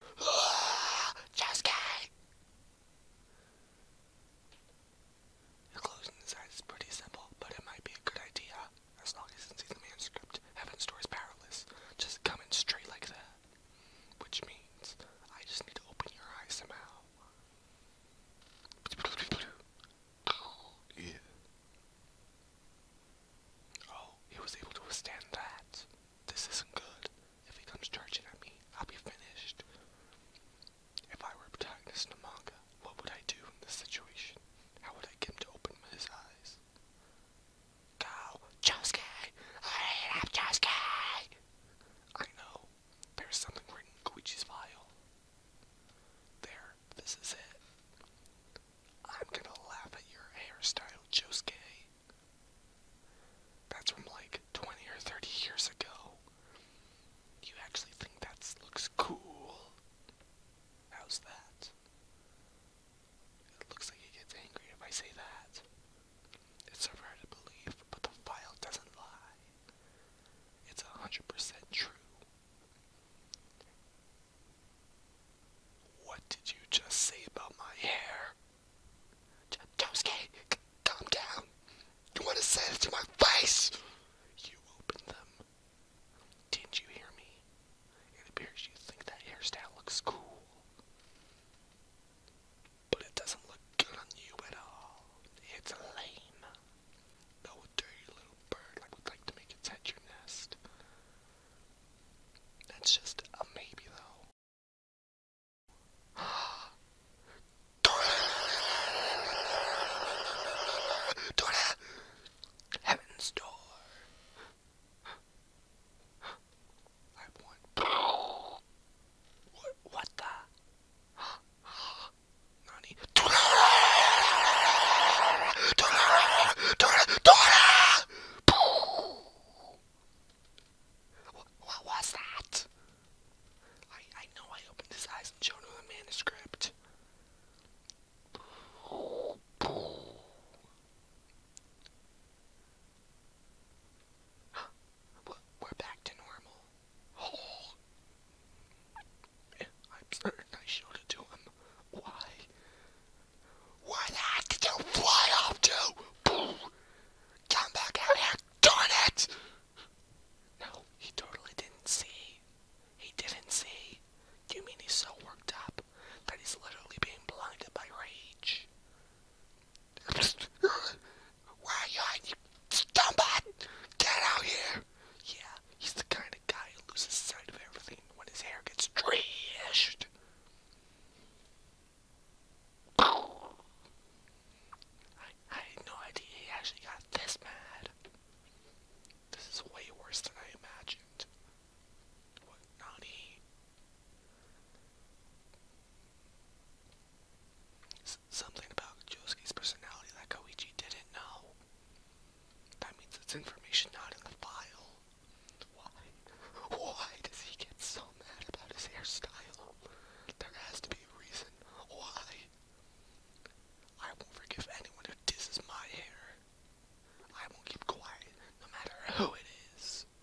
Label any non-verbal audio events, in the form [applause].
[sighs] Josuke! The closing is pretty simple, but it might be a good idea. As long as it's in the manuscript, Heaven's Door is powerless. Just coming straight like that. Which means I just need to open your eyes somehow. [gasps] yeah. Oh, he was able to withstand that. This isn't good. If he comes charging at me, I'll be finished. If I were a protagonist in a manga, what would I do in this situation? How would I get him to open his eyes? Go, Josuke! I love Josuke! I know. There's something in Koichi's file. There, this is it. I'm gonna laugh at your hairstyle, Josuke. That's from like 20 or 30 years ago. You actually think that looks cool? How's that? It looks like it gets angry if I say that. It's hard to believe, but the file doesn't lie. It's 100% true. What did you just say about my hair? J calm down. You want to say it to my face? You opened them. Didn't you hear me? It appears you think that hairstyle looks cool. But it doesn't look good on you at all. It's lame. No dirty little bird like would like to make its head your nest. That's just a maybe though. [gasps] Dora! Heaven's door! I want. What, what the? 何ドラドラドラドラドラ What was that? I, I know I opened his eyes and showed him the manuscript. We're back to normal. Oh. I'm certain I showed it to him. Why? Why the heck did you fly off to? Boo! Come back out here, darn it! No, he totally didn't see. He didn't see. You mean he's so worked up that he's literally being blinded by rage? [laughs] Where are you hiding? Get out here! Yeah, he's the kind of guy who loses sight of everything when his hair gets trashed. I, had no idea he actually got this mad. This is way worse than I imagined. What, not something about Josuke's personality that Koichi didn't know. That means it's information not in the file. Why? Why does he get so mad about his hairstyle? There has to be a reason. Why? I won't forgive anyone who disses my hair. I won't keep quiet, no matter who it is.